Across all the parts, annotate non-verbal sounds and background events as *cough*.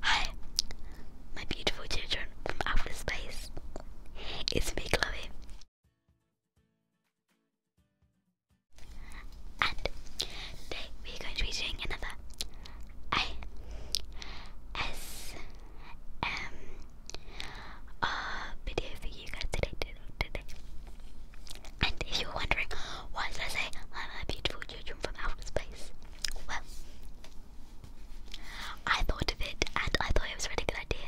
Hi, my beautiful children from outer space. It's me, Chloe. And today we're going to be doing another I S M R video for you guys today. And if you're wondering why did I say I'm a beautiful children from outer space? Well, I thought of it and I thought it was a really good idea.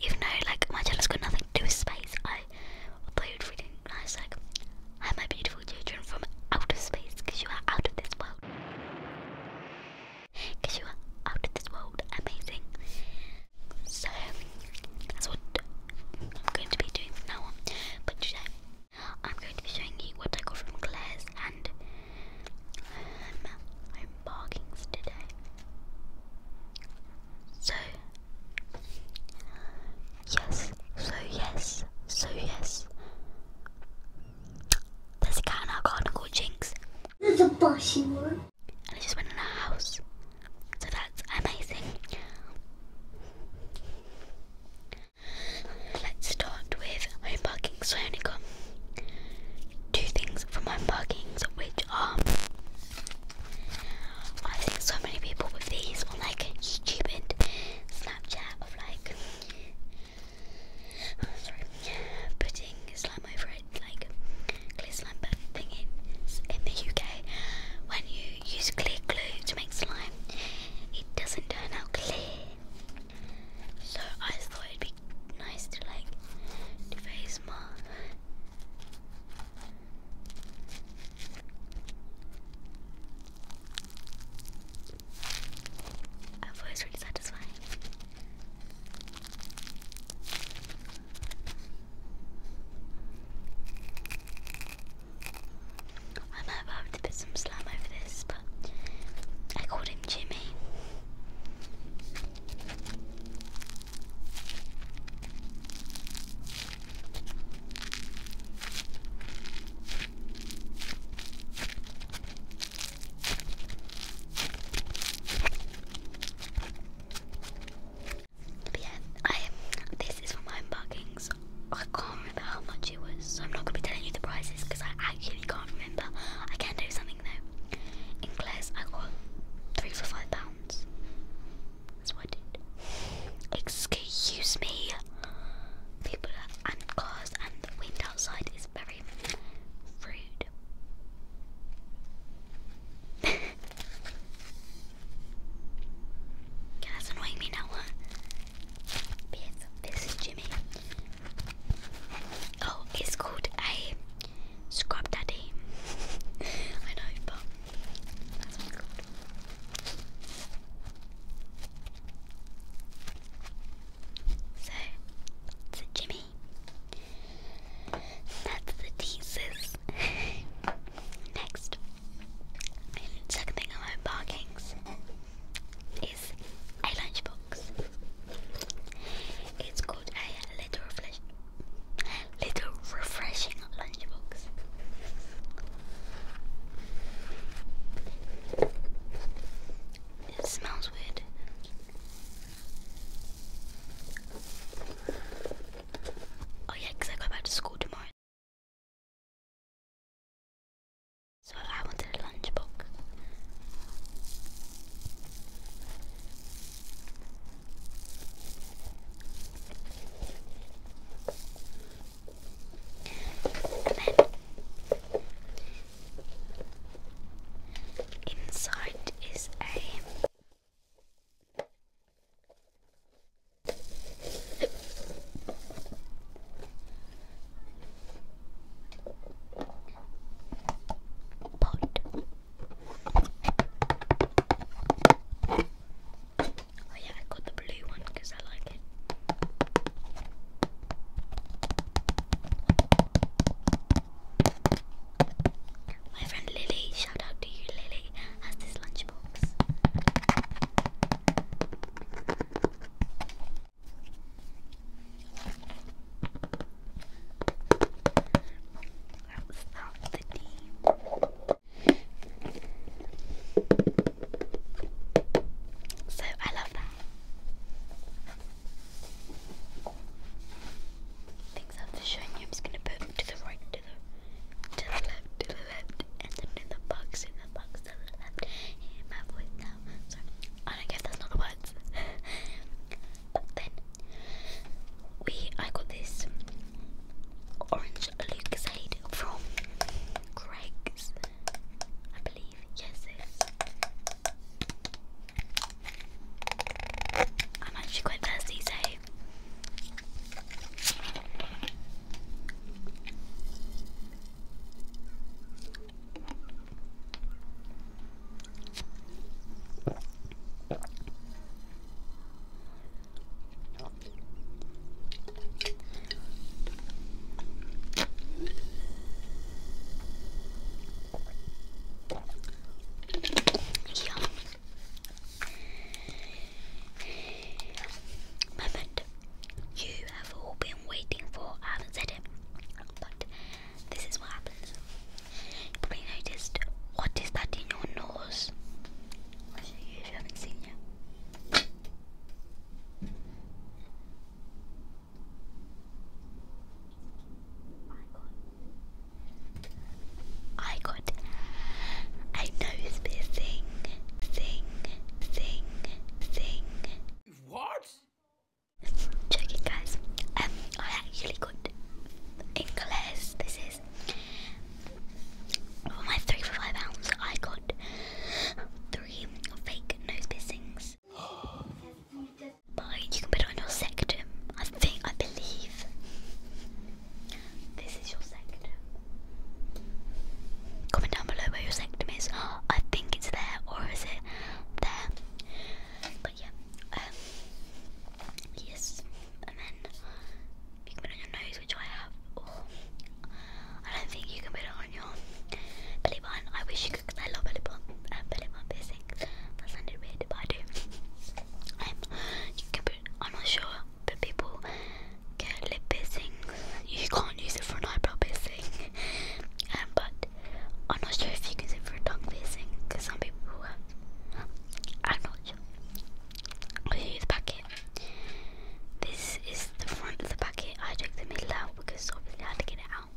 Even though like my channel's got nothing to do with space, I thought it was really nice like I'm a beautiful children from outer space because you are out of this world. Because you are out of this world amazing. So that's what I'm going to be doing from now But today, I'm going to be showing you what I got from Claire's and um, Home Bargains today. So, yes, so yes, so yes. There's a cat in our garden called Jinx. There's a bushy one. And I just went in the house. So that's amazing. Let's start with home So I only got two things from home which are I think so many people with these on like YouTube Snapchat of like sorry putting slime over it, like clear slime in the UK when you use clear glue to make slime, it doesn't turn out clear. So I thought it'd be nice to like do face mask. always really satisfying. I am have to put some slime over this, but I called him Jimmy yeah, I this is from Home Buckings. I can't remember how much it was, so I'm not gonna be telling you the prices because I actually can't remember. I can do something though. In I got three for five pounds. That's what I did. Excuse me. People and cars and the wind outside is very rude. *laughs* God, that's annoying me now. This, is Jimmy. Oh, it's called a scrub daddy. *laughs* I know, but that's what So, it's Jimmy. That's the thesis. Next, second thing about bargains is a lunchbox. It's called a little refresh, little refreshing lunchbox. It smells weird. Oh yeah, because I go back to school tomorrow. So I wanted a lunchbox. inside is a Pot. Oh yeah, I got the blue one because I like it. My friend Lily, shout out to you, Lily, has this lunchbox. Let's start the tea. So I love that. Things after showing you, I'm just gonna put to the right, to the to the left, to the left, and then in the box, in the box, to the left. And my voice now. Sorry. Oh, I don't guess that's not words. *laughs* but then we I got this orange Lucasade from Greg's I believe. Yes I'm actually quite thirsty, so Yum. Moment you have all been waiting for. I haven't said it, but this is what happens. probably noticed what is that in your nose? Which you haven't seen yet. I got a nose piercing thing thing thing. What? Joking guys. Um I actually got in this is for my three for five pounds I got three fake nose piercings this. you can put it on your sectum. I think, I believe. This is your sectum. Comment down below where your sectum is. I think it's there, or is it there? But yeah. Um, yes. And then you can put it on your nose, which I have. Oh, I don't think you can put it on your belly button. I wish you could. I love volleyball. I'm volleyball basic. That's underrated body. I'm you can I'm not sure but people get lip piercing. You can't use it for an eyebrow piercing. Um but I'm not sure if you can use it for a tongue piercing because some people have I'm not sure. i the packet. This is the front of the packet. I took the middle out out because obviously I had to get it out.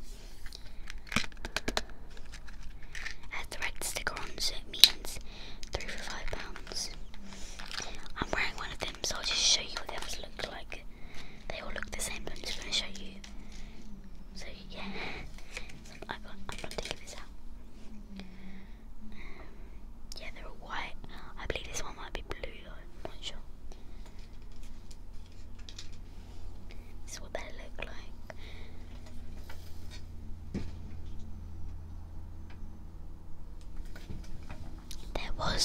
It has sticker on, so it means three for five pounds. I'm wearing one of them, so I'll just show you what the others look like. They all look the same, but I'm just going to show you. So, yeah, *laughs* I am not taking this out. Um, yeah, they're all white. I believe this one might be blue video what they look like. There was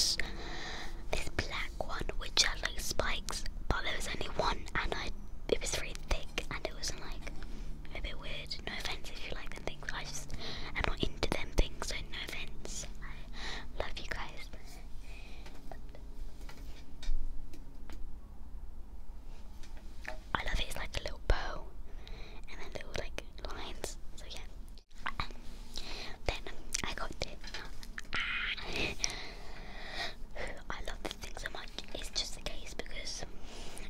this black one which had like spikes, but there was only one, and I it was really thick, and it was like a bit weird. No offense if you like them things, I just am not into them things, so no offense. I love you guys. I love it, it's like a little bow and then little like lines. So yeah. then I got this. Ah, I love this thing so much. It's just the case because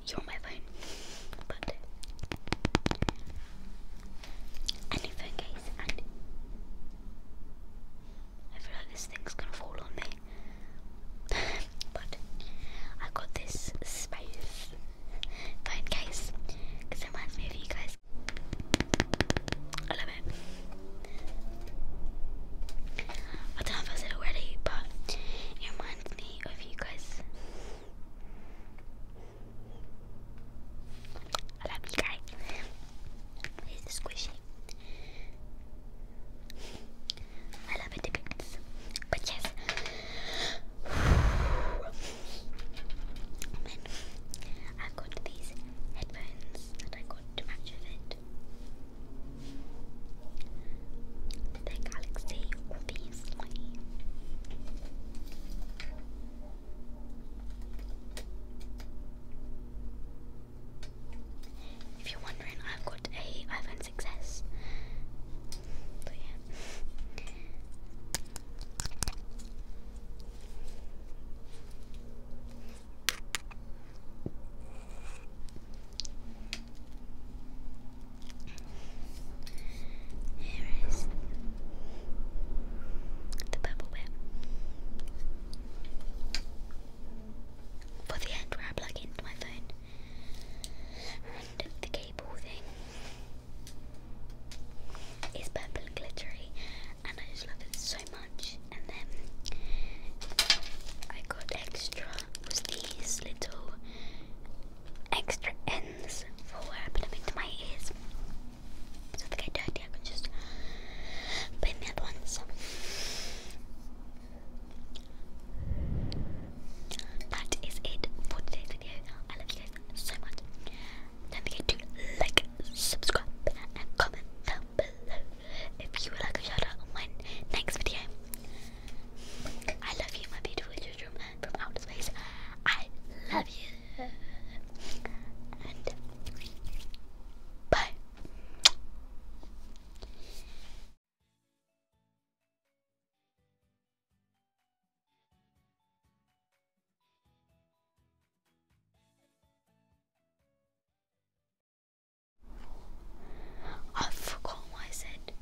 you're on my phone. But anything, guys. And I feel like this thing's gonna fall on me. *laughs* but I got this space phone case it reminds me of you guys. I love it. I don't know if I said already, but it reminds me of you guys. I love you guys. He's squishy. I love it, but yes. i *sighs* got these headphones that I got to match with it. They're Galaxy, obviously. If you're wondering, I've got a iPhone 6s. Here is the purple bit. For the end where I plug into my phone and the cable thing is purple and glittery and I just love it so much and then I got extra was these little extra ends for putting into my ears. So if get dirty, I can just put the other ones. That is it for today's video. I love you guys so much. Don't forget to like, subscribe, and comment down below if you would like a shout out on my next video. I love you, my beautiful children from outer space. I love you. bye. I forgot what I said.